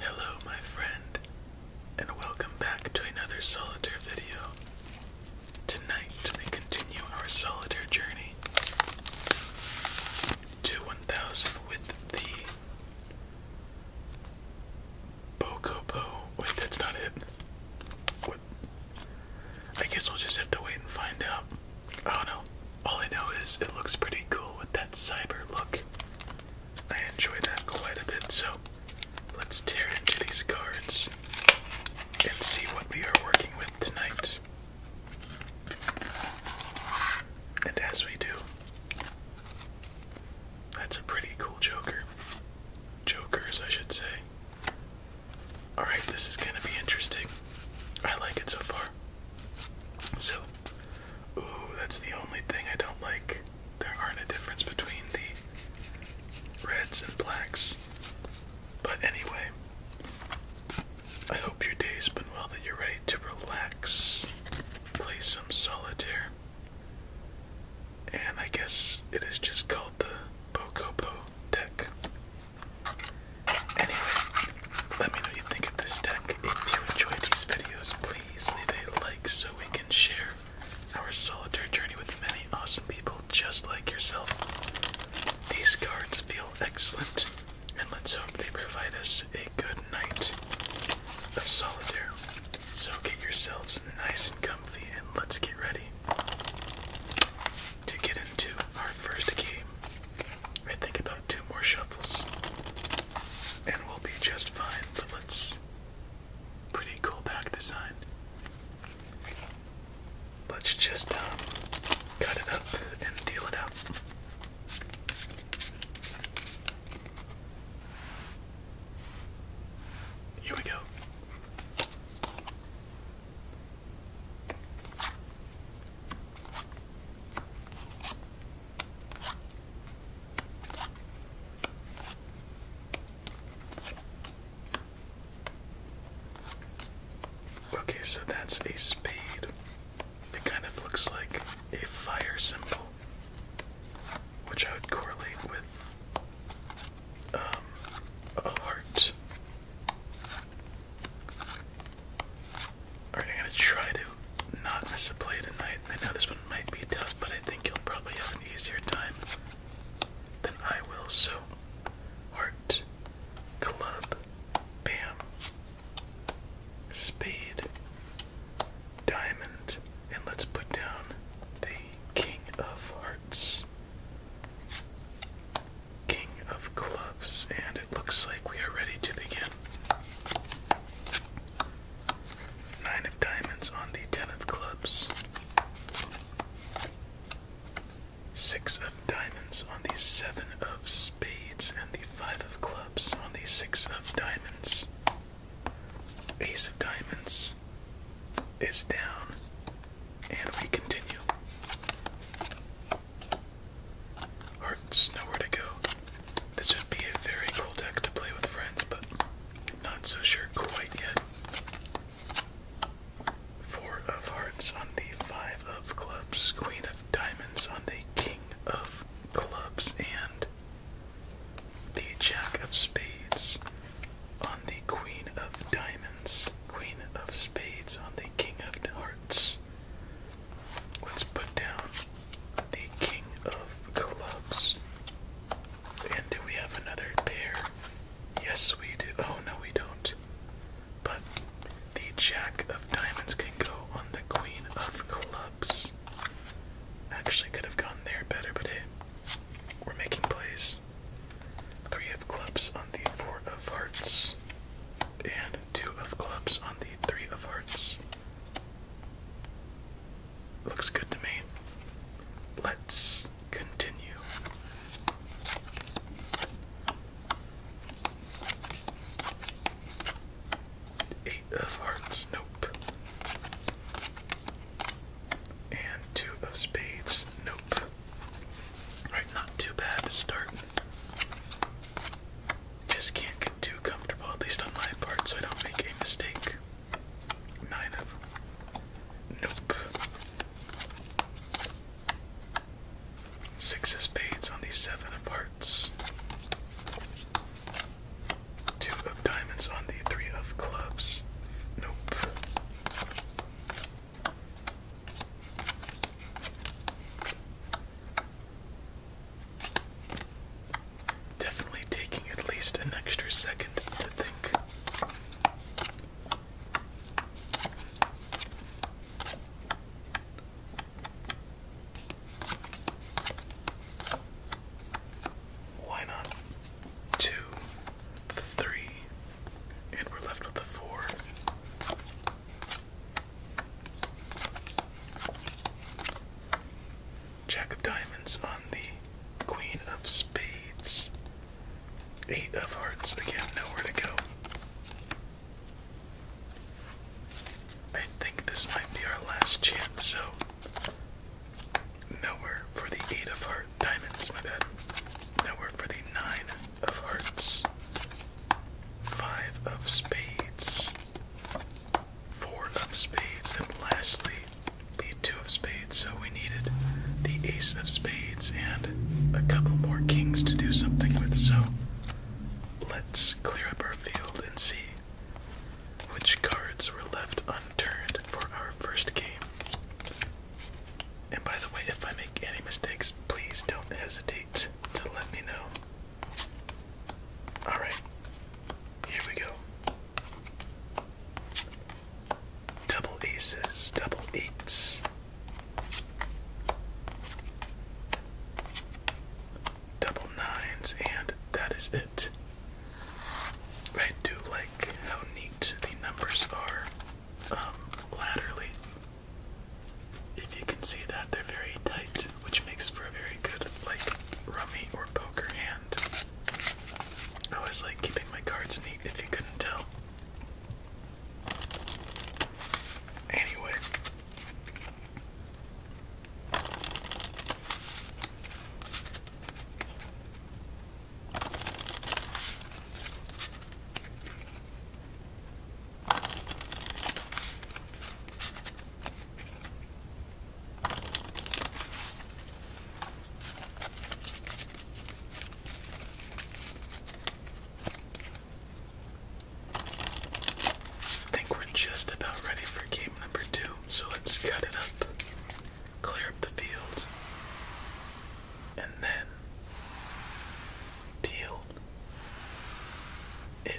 Hello, my friend, and welcome back to another solitaire video. Tonight, we continue our solitaire journey to 1000 with the Bokobo. Wait, that's not it. What? I guess we'll just have to wait and find out. I oh, don't know. All I know is it looks pretty cool with that cyber look. I enjoy that quite a bit, so let's tear into these cards and see what we are working with tonight. And as we do, that's a pretty cool Joker. Jokers, I should say. Alright, this is gonna be interesting. I like it so far. So, Ooh, that's the only thing I don't like. There aren't a difference between the reds and blacks. But anyway, I hope your day's been well, that you're ready to relax, play some solitaire. And I guess it is just called the Pocopo deck. Anyway, let me know what you think of this deck. If you enjoy these videos, please leave a like so we can share our solitaire journey with many awesome people just like yourself. These cards feel excellent, and let's hope they provide us a good night of solitaire. So get yourselves nice and comfy, and let's get ready to get into our first game. I think about two more shuffles and we'll be just fine. But let's. Pretty cool pack design. Let's just um, cut it up and deal it out. Here we go. Okay, so that's a spade. It kind of looks like a fire symbol, which I would correlate with um, a heart. I'm gonna try to not miss a play tonight. I know this one might be tough, but I think you'll probably have an easier time than I will. So, heart, club, bam, spade, diamond, and let's put down the king of hearts. King of clubs, and it looks like we are ready to begin. Nine of diamonds on the ten of clubs. Six of diamonds on the seven of spades and the five of clubs on the six of diamonds. Ace of diamonds is down, and we continue. Hearts, nowhere to go. This would be a very cool deck to play with friends, but not so sure quite yet. Four of hearts on the five of clubs, queen of diamonds on the king of clubs, and the jack of spades on the queen of diamonds, queen of spades on the king of hearts let's put down the king of clubs. And do we have another pair? Yes, we do. Oh, no, we don't. But the jack of diamonds can go on the queen of clubs. Actually, could have gone there better, but we're making plays. Three of clubs on the four of hearts, and two of clubs on the three of hearts. Looks good to me. Let's continue. Eight of hearts, nope. And two of spades, nope. All right, not too bad to start. Just can't get too comfortable, at least on my part, so I don't make a mistake. Nine of nope. Six of spades on the seven of hearts. Two of diamonds on the three of clubs. Nope. Definitely taking at least an extra second to think. Why not? Two, three, and we're left with the four. Jack of Diamonds on the Queen of Spades. Eight of Hearts, again, nowhere to go. I think this might be our last chance, so nowhere for the Eight of Hearts. Diamonds, my bad. Nowhere for the Nine of Hearts. Five of Spades four of spades, and lastly, the two of spades. So we needed the ace of spades and a couple more kings to do something with. So let's clear up our field and see which cards were left unturned for our first game. And by the way, if I make any mistakes, please don't hesitate to let me know. All right, here we go. Double aces, double eights, double nines, and that is it. I do like how neat the numbers are um, If you can see that, they're very tight which makes for a very good, like, rummy or poker hand. I was like keeping my cards neat if you couldn't tell. Anyway. I think we're just about ready for game number two, so let's cut it up, clear up the field, and then deal a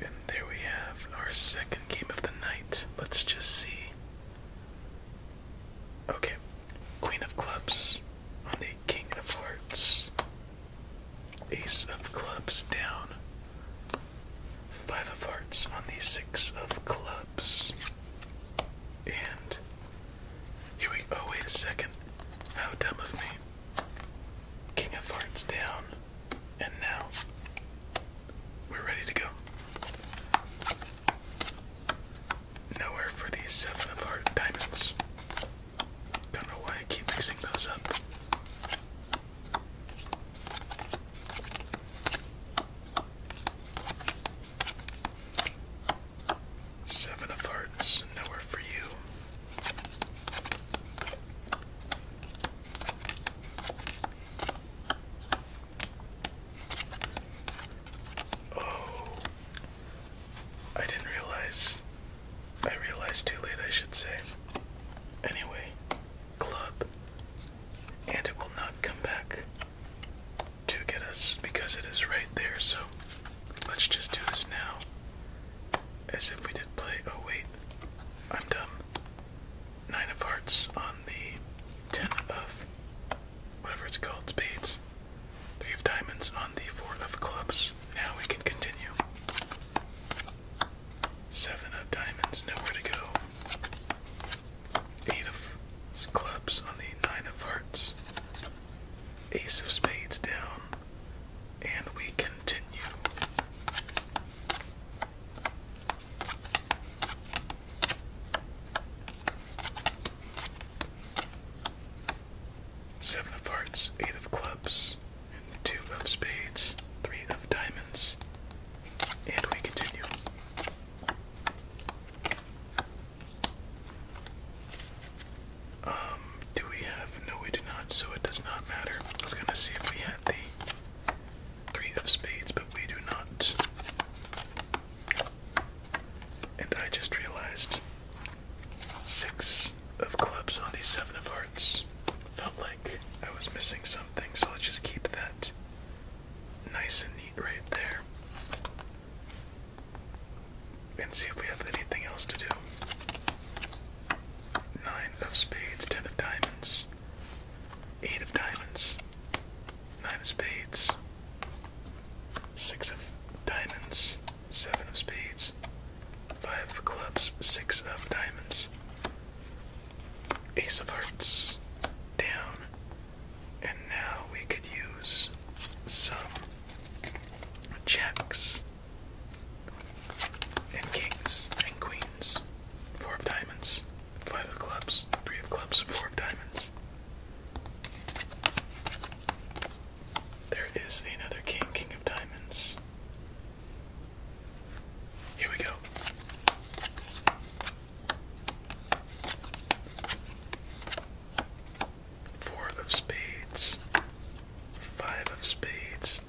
And there we have our second game of the night. Let's just see. Okay, Queen of Clubs on the King of Hearts. Ace of clubs down. Five of hearts on the six of clubs. And here we oh wait a second. How dumb of me. King of hearts down. And now we're ready to go. Nowhere for the seven of heart diamonds. Don't know why I keep mixing those up. Seven of Hearts, nowhere for you. Oh, I didn't realize I realized too late, I should say. Anyway, club. And it will not come back to get us because it is right there, so let's just do this now. As if we did play. Oh, wait. I'm dumb. Nine of hearts on the ten of whatever it's called, spades. Three of diamonds on the four of clubs now we can continue. Seven of diamonds, nowhere to go. Eight of clubs on the nine of hearts. Ace of spades down. And we continue. Seven of hearts, eight of clubs, two of spades, three of diamonds, and we continue. Um, do we have? No, we do not, so it does not matter. I was gonna see if we had the three of spades, but we do not. And I just realized six of clubs on the seven of hearts. Felt like I was missing something, so let's just keep that nice and neat right there. And see if we have anything else to do. Nine of spades, ten of diamonds, eight of diamonds, nine of spades, six of diamonds, seven of spades, Five of clubs, six of diamonds. Ace of hearts down. And now we could use some checks and kings and queens. Four of diamonds, five of clubs, three of clubs, four of diamonds. There is another king, king of diamonds. Here we go. Four of spades, five of spades,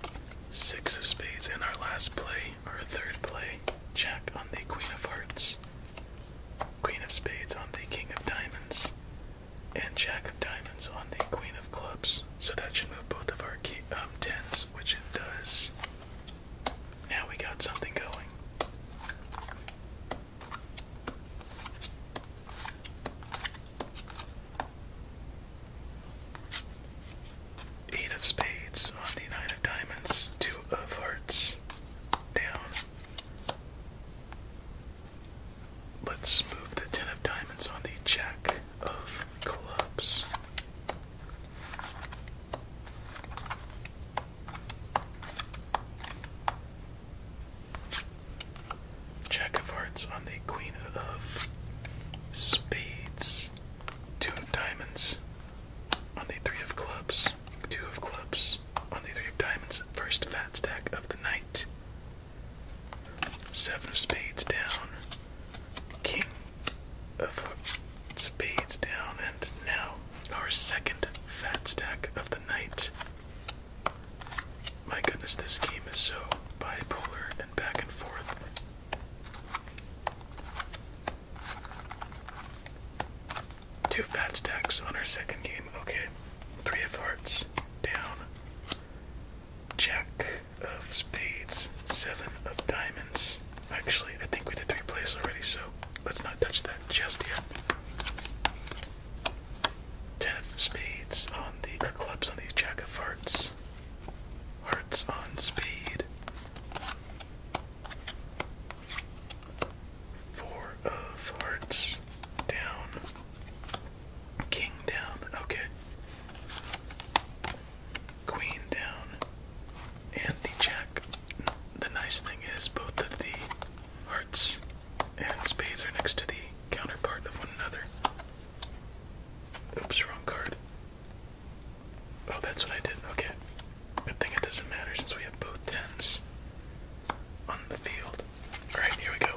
six of spades, and our last play, our third play, check on the queen of hearts, queen of spades on the king of diamonds, and jack of diamonds on the queen of clubs. So that should move both of our um, tens which it does. Now we got something going. Eight of spades on the nine of diamonds, two of hearts down. Let's move the ten of diamonds on the check of clubs. Jack of hearts on the queen of spades. Two of diamonds on the three of clubs. Two of clubs on the three of diamonds. First fat stack of the night. Seven of spades down. King of spades down, and now our second fat stack of the night. My goodness, this game is so bipolar and back and forth. Two fat stacks on our second game. Okay. Three of hearts down. Check of spades, seven of diamonds. Actually, I think we did three plays already, so let's not touch that just yet. Ten of spades on the or clubs on the jack of hearts. Hearts on spade. Four of hearts down. King down. Okay queen down and the jack. The nice thing is both of the hearts and spades are next to the counterpart of one another. Oops, wrong card. Oh, that's what I did. Okay. Good thing it doesn't matter since we have both tens on the field. Alright, here we go.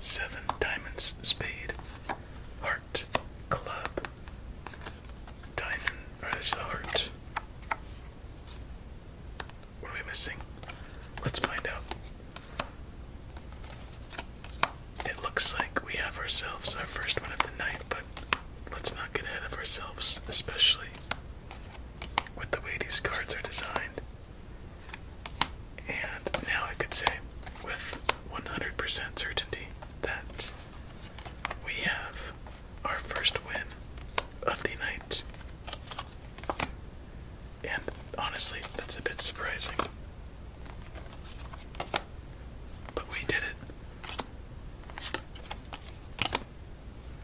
Seven diamonds, spade, heart club, diamond, heart. What are we missing? Let's find out. It looks like we have ourselves our first one of the night, but let's not get ahead of ourselves, especially with the way these cards are designed. And now I could say with 100% certainty that we have our first win of the night. And honestly, that's a bit surprising. But we did it.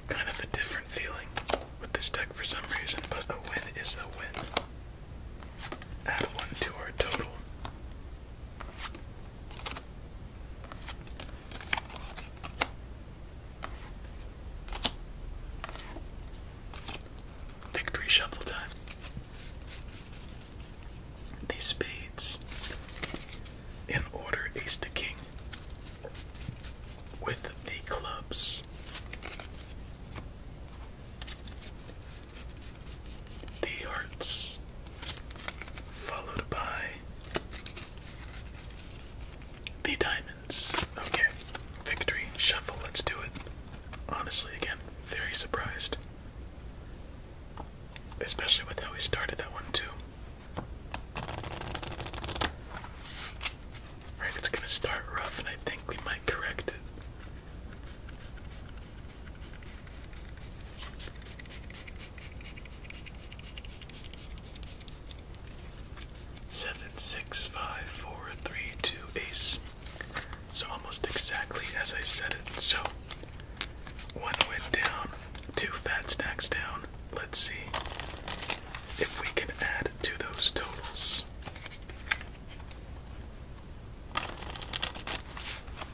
Kind of a different feeling with this deck for some reason, but a win is a win. Add one to our total. Victory shuffle time. These spades in order ace to king with the clubs the hearts, followed by the diamonds. Okay, victory, shuffle, let's do it. Honestly, again, very surprised. Especially with how we started that one, too. Right, it's gonna start rough, and I think we might correct it. Seven, six, five, four, three, two, ace. So almost exactly as I said it. So one went down, two fat stacks down. Let's see if we can add to those totals.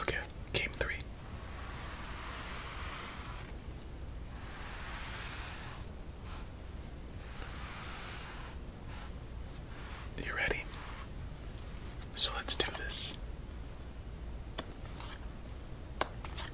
Okay, game three. You ready? So let's do this.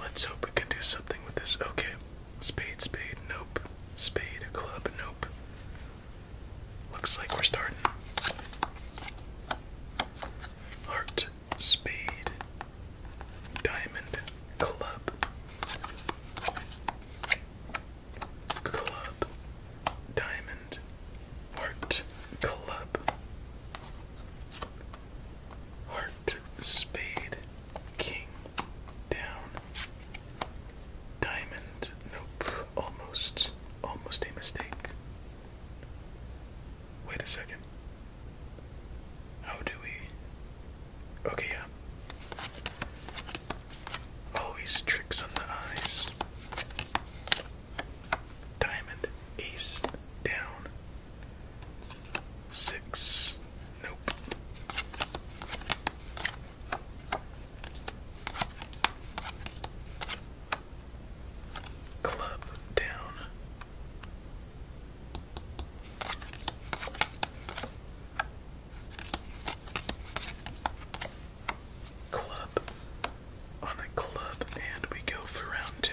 Let's hope we can do something with this. Okay. Spade, spade, nope. Spade, club, nope. Looks like we're starting. Heart, spade, diamond, club club, diamond, heart, club, heart, spade, king, down, diamond, nope, almost, almost a mistake. Wait a second. How do we? Okay, yeah. Always tricks on the eyes. Diamond, ace, down. Six. Nope. Club down club on a club, and we go for round two.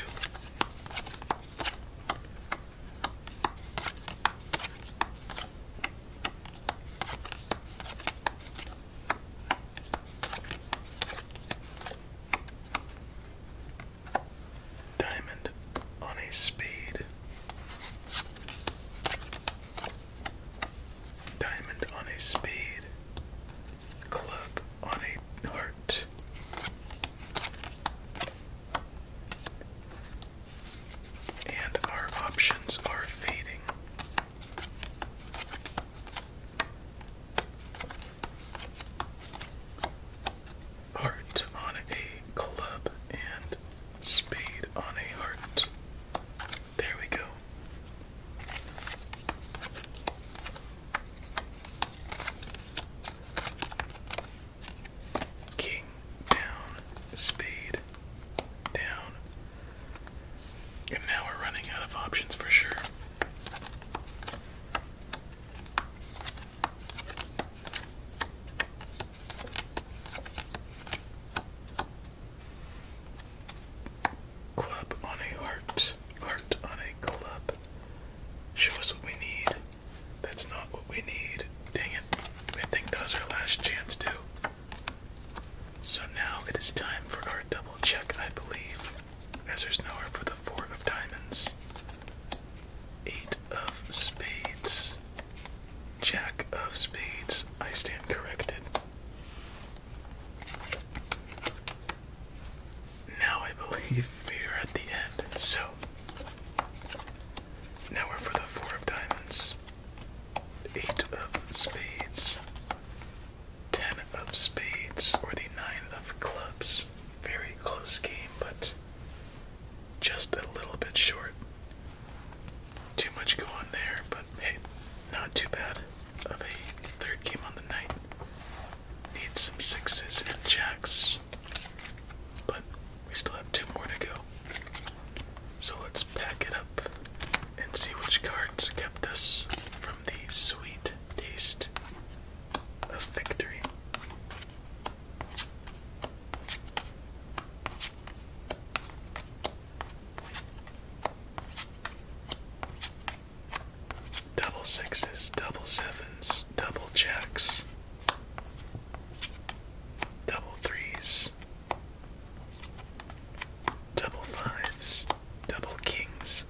Diamond on a spade. Diamond on a spade. Club on a heart. And our options are fading. Heart on a club and spade on a heart. There we go. King down, spade down. And now we're running out of options for sure. Club on a heart. Heart on a club. Show us what we need. That's not what we need. Dang it. I think that was our last chance, too. So now it is time for our double check, I believe, as there's nowhere for the four of diamonds. Eight of spades. Jack of spades. I stand corrected. Now I believe we're at the end. So now we're for the four of diamonds, eight of spades, ten of spades, or the nine of clubs. Very close game, but just a little bit short. Too much going there, but hey, not too bad of a third game on the night. Need some sixes and jacks. But we still have two more to go. So let's pack it up and see which cards kept us from the sweet taste of victory. Double sixes, double sevens, double jacks, double threes, double fives, double kings,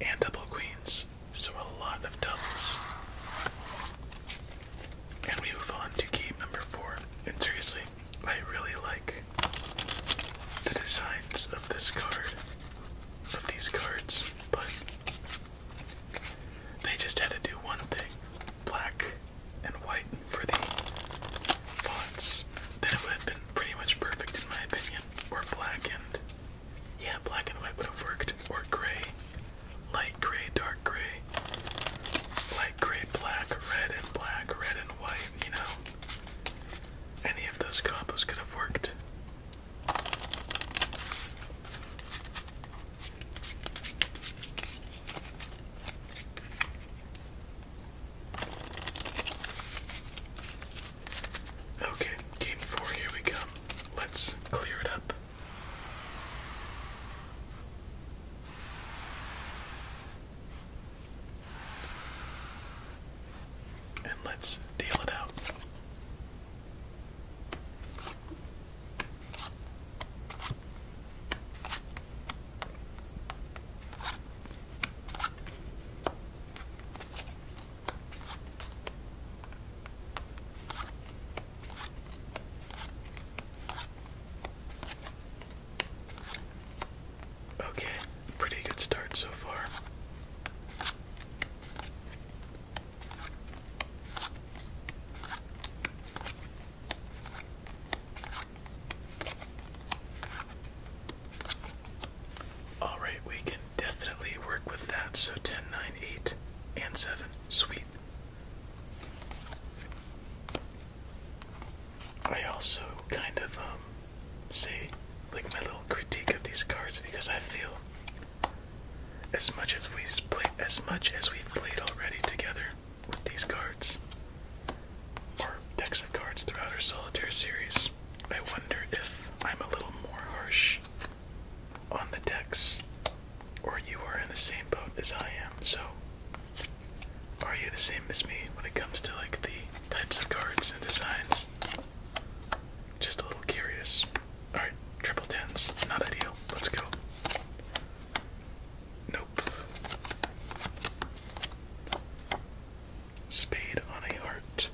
and double queens. So a lot of doubles. And we move on to game number four. And seriously, I really like the designs of this card, of these cards, but they just had to do one thing black and white for the fonts. Then it would have been pretty much perfect, in my opinion. Or black and. Yeah, black and white would have worked. Or gray. Light gray, dark gray. Light gray, black, red and black, red and white, you know? any of those combos could have worked. Okay, game four, here we go. Let's clear it up. And let's deal it out. Okay, pretty good start so far. All right, we can definitely work with that. So 10, 8, and 7. Sweet. I also kind of um say like my little critique of these cards because I feel as much as we've played as much as we've played already together with these cards or decks of cards throughout our solitaire series, I wonder if I'm a little more harsh on the decks or you are in the same boat as I am. So are you the same as me when it comes to like the types of cards and designs. Just a little curious. Alright, triple tens. Not ideal. Let's go. Nope. Spade on a heart.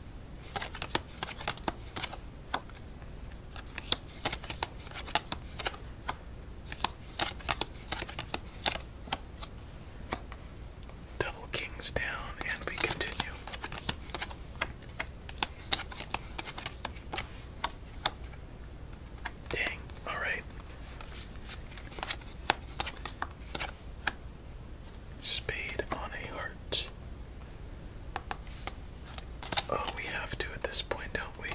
Double kings down, and we continue. Dang, alright. Spade on a heart. Oh, we have to at this point, don't we?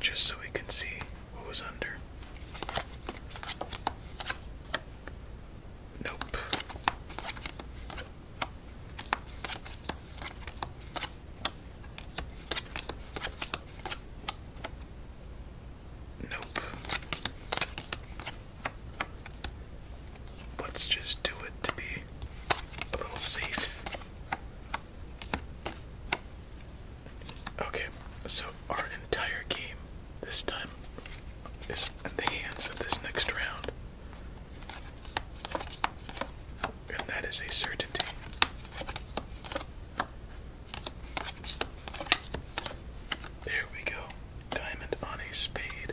Just so we can see what was under? Nope. Nope. Let's just do it to be a little safe. Okay, so our entire game this time is in the hands of this next round. And that is a certainty. There we go. Diamond on a spade.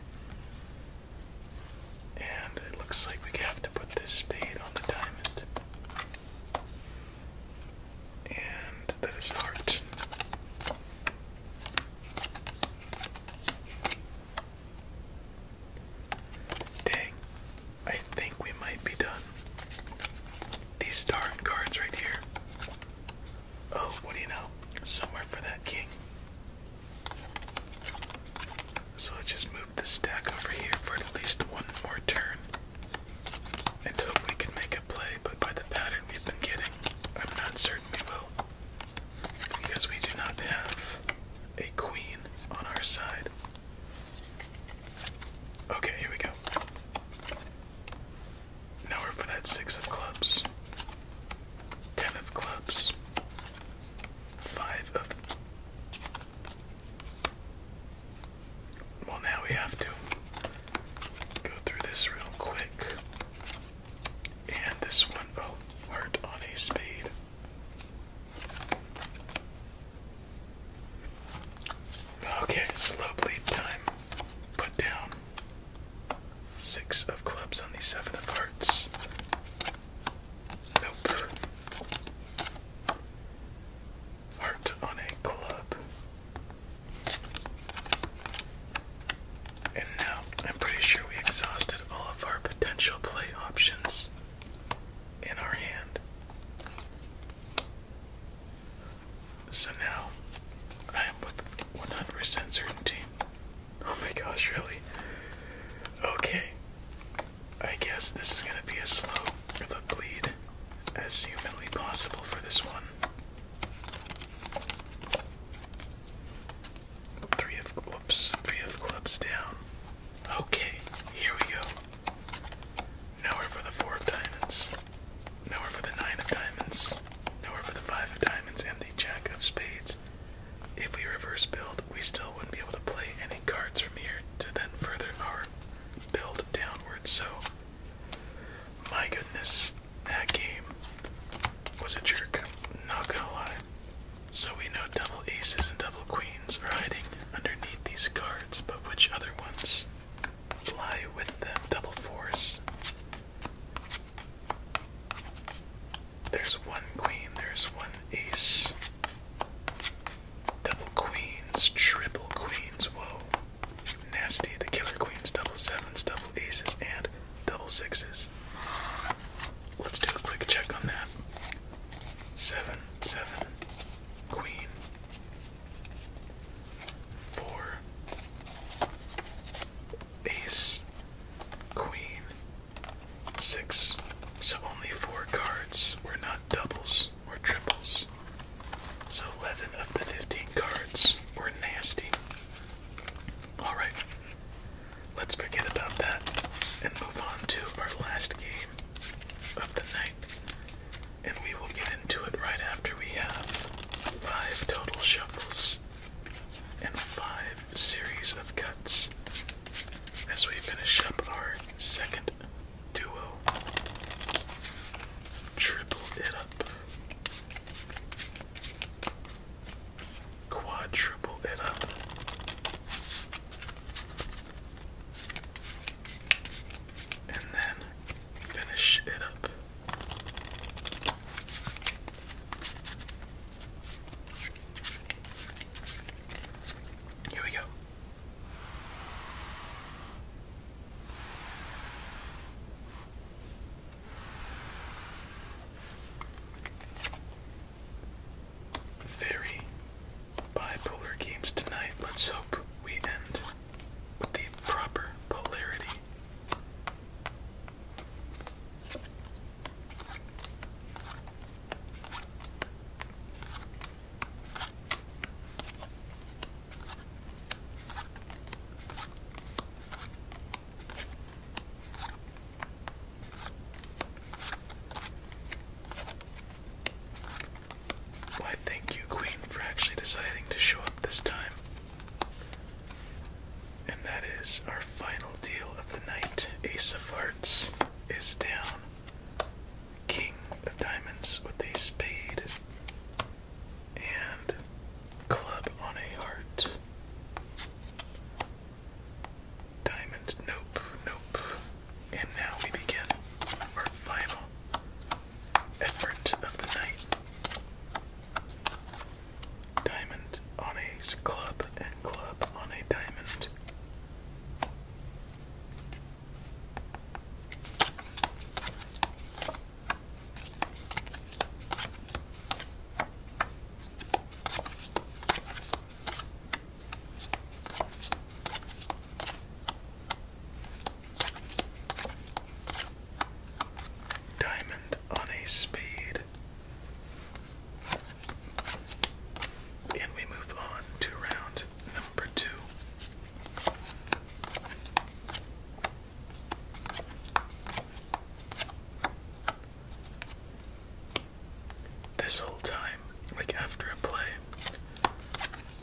And it looks like we have to put this spade on the diamond. And that is heart. Dang, I think we might be done. These darn cards right here. Oh, what do you know? Somewhere for that king. So I just moved the stack over here for at least one more turn and hope we can make a play, but by the pattern we've been getting, I'm not certain we will. Because we do not have a queen on our side. Okay, here we go. Now we're for that six of clubs, ten of clubs, five of well, now we have to go through this real quick. And this one, oh, heart on a spade. Okay, slow bleed time. Put down six of clubs on the seven of hearts. Nope. Heart on a club. And now I'm pretty sure we exhausted all of our potential play options in our hand. So now I am with 100% certainty. Oh my gosh, really? Okay. I guess this is going to be as slow bleed as humanly possible for this one. Three of whoops, three of clubs down. Okay, here we go. Nowhere for the four of diamonds. we're for the nine of diamonds. Now we're for the five of diamonds and the jack of spades. If we reverse build, we still wouldn't be able to play any cards from here to then further our build downwards. So, my goodness, that game was a jerk, not gonna lie. So we know double aces and double queens are hiding underneath these cards, but which other ones lie with them? Double fours. There's one queen, there's one ace. Double queens, triple queens, whoa. Nasty, the Killer Queens, double sevens, double aces, and double sixes. Let's do a quick check on that. Seven, seven, queen, four, ace, queen, six. So only four cards. We're not doubles or triples. So 11 of the 15 cards were nasty. Alright, let's forget about that and move on to our last game of the night. And we will get into it right after we have five total shuffles and five series of cuts as we finish up our second duo. Triple it up. Quadruple it up. And then finish it up. Here we go. Very bipolar games tonight. Let's hope we end with the proper polarity. Why thank you, Queen, for actually deciding to show up this time. And that is our final deal of the night. Ace of Hearts is down. King of Diamonds with a spade and club on a heart. Diamond, nope, nope. And now we begin our final effort of the night. Diamond on a club and club on a diamond. Diamond on a spade. And we move on to round number two. This whole time, like after a play,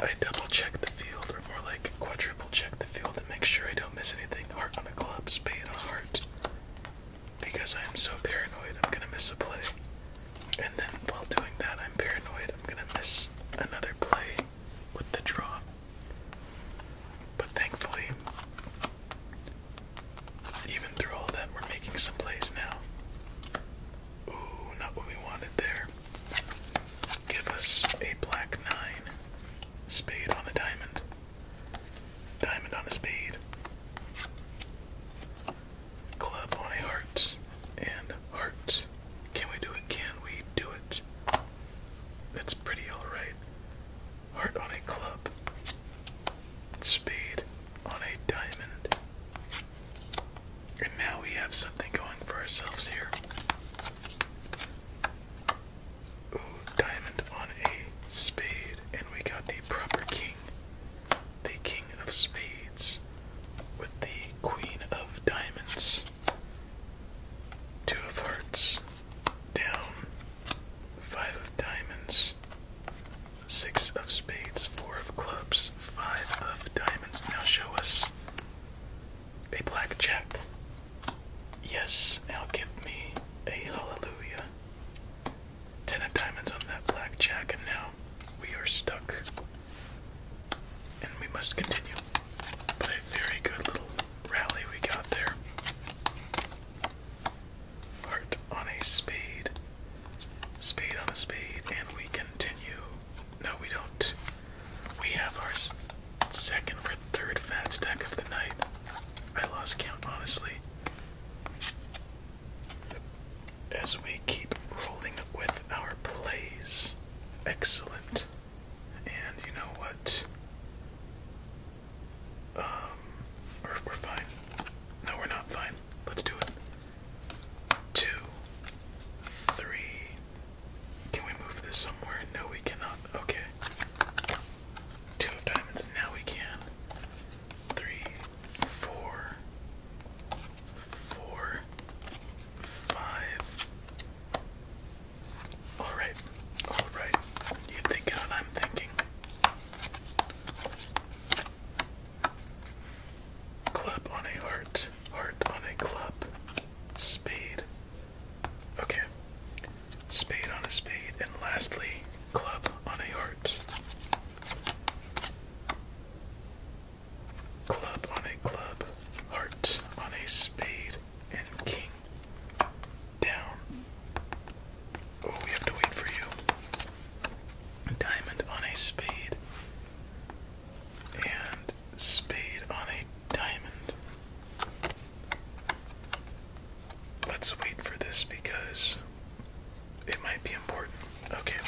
I double check the field, or more like quadruple check the field to make sure I don't miss anything. Heart on a club, spade on a heart. Because I am so paranoid, I'm gonna miss a play. And then while doing that, I'm paranoid, I'm gonna miss another play with the draw. But thankfully, even through all that, we're making some plays now. Ooh, not what we wanted there. Give us a black nine. Spade on a diamond. Diamond on a spade. Club on a heart. And heart. Can we do it? Can we do it? That's pretty alright. Heart on a club. Spade on a diamond. And now we have something going for ourselves here. Ooh, diamond on a spade. And we got the proper king. The king of spades. With the queen of diamonds. Two of hearts down, five of diamonds, six of spades, four of clubs, five of diamonds. Now show us a blackjack. Yes, now give me a hallelujah. Ten of diamonds on that blackjack, and now we are stuck. And we must continue. But a very good little rally we got there. Heart on a spade. Spade on a spade, and we continue. No, we don't. We have our second or third fat stack of the night. I lost count, honestly. As we keep rolling with our plays. Excellent. And you know what? Um, we're, we're fine. No, we're not fine. Let's do it. Two, three. Can we move this somewhere? No, we cannot. Okay. Two of diamonds. Now we can. Three, four, four, five, Alright, alright. You thinking what I'm thinking. Club on a heart, heart on a club, spade. Okay. Spade on a spade, and lastly, club on a heart. Club on a club, heart on a spade, and king down. Oh, we have to wait for you. Diamond on a spade. And spade on a diamond. Let's wait for this because it might be important. Okay.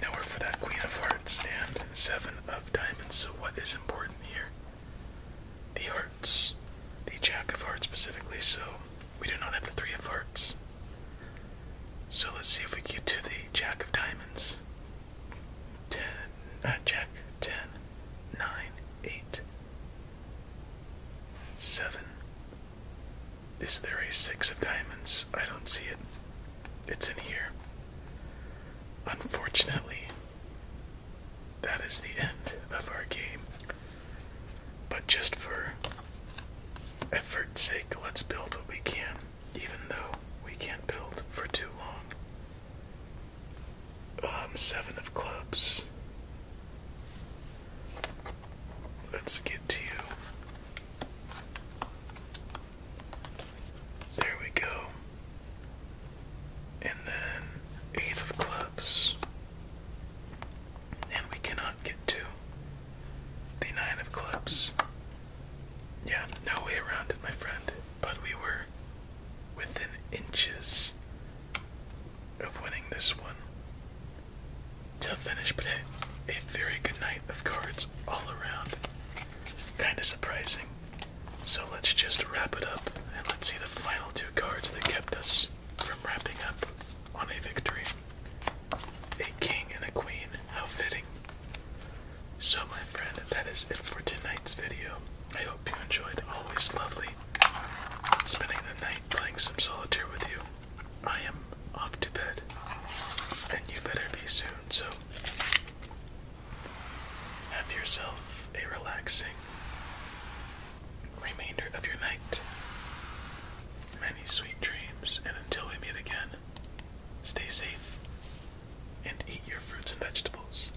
Now we're for that Queen of Hearts and Seven of Diamonds. So, what is important here? the hearts, the jack of hearts specifically, so we do not have the three of hearts. So let's see if we get to the jack of diamonds. 10, uh, jack, ten, nine, eight, seven. 9, 8, Is there a six of diamonds? I don't see it. It's in here. Unfortunately, that is the end of our game. But just for effort's sake, let's build what we can, even though we can't build for too long. Um, seven of clubs. Let's get to you. There we go and then eight of clubs, and we cannot get to the nine of clubs. Yeah, no way around it, my friend, but we were within inches of winning this one. Tough finish, but a very good night of cards all around. Kinda surprising. So let's just wrap it up and let's see the final two cards that kept us from wrapping up on a victory. A king and a queen, how fitting. So my friend, that is it for tonight's video. I hope you enjoyed. Always lovely spending the night playing some solitaire with you. I am off to bed, and you better be soon, so have yourself a relaxing remainder of your night. Many sweet dreams, and until we meet again, stay safe and eat your fruits and vegetables.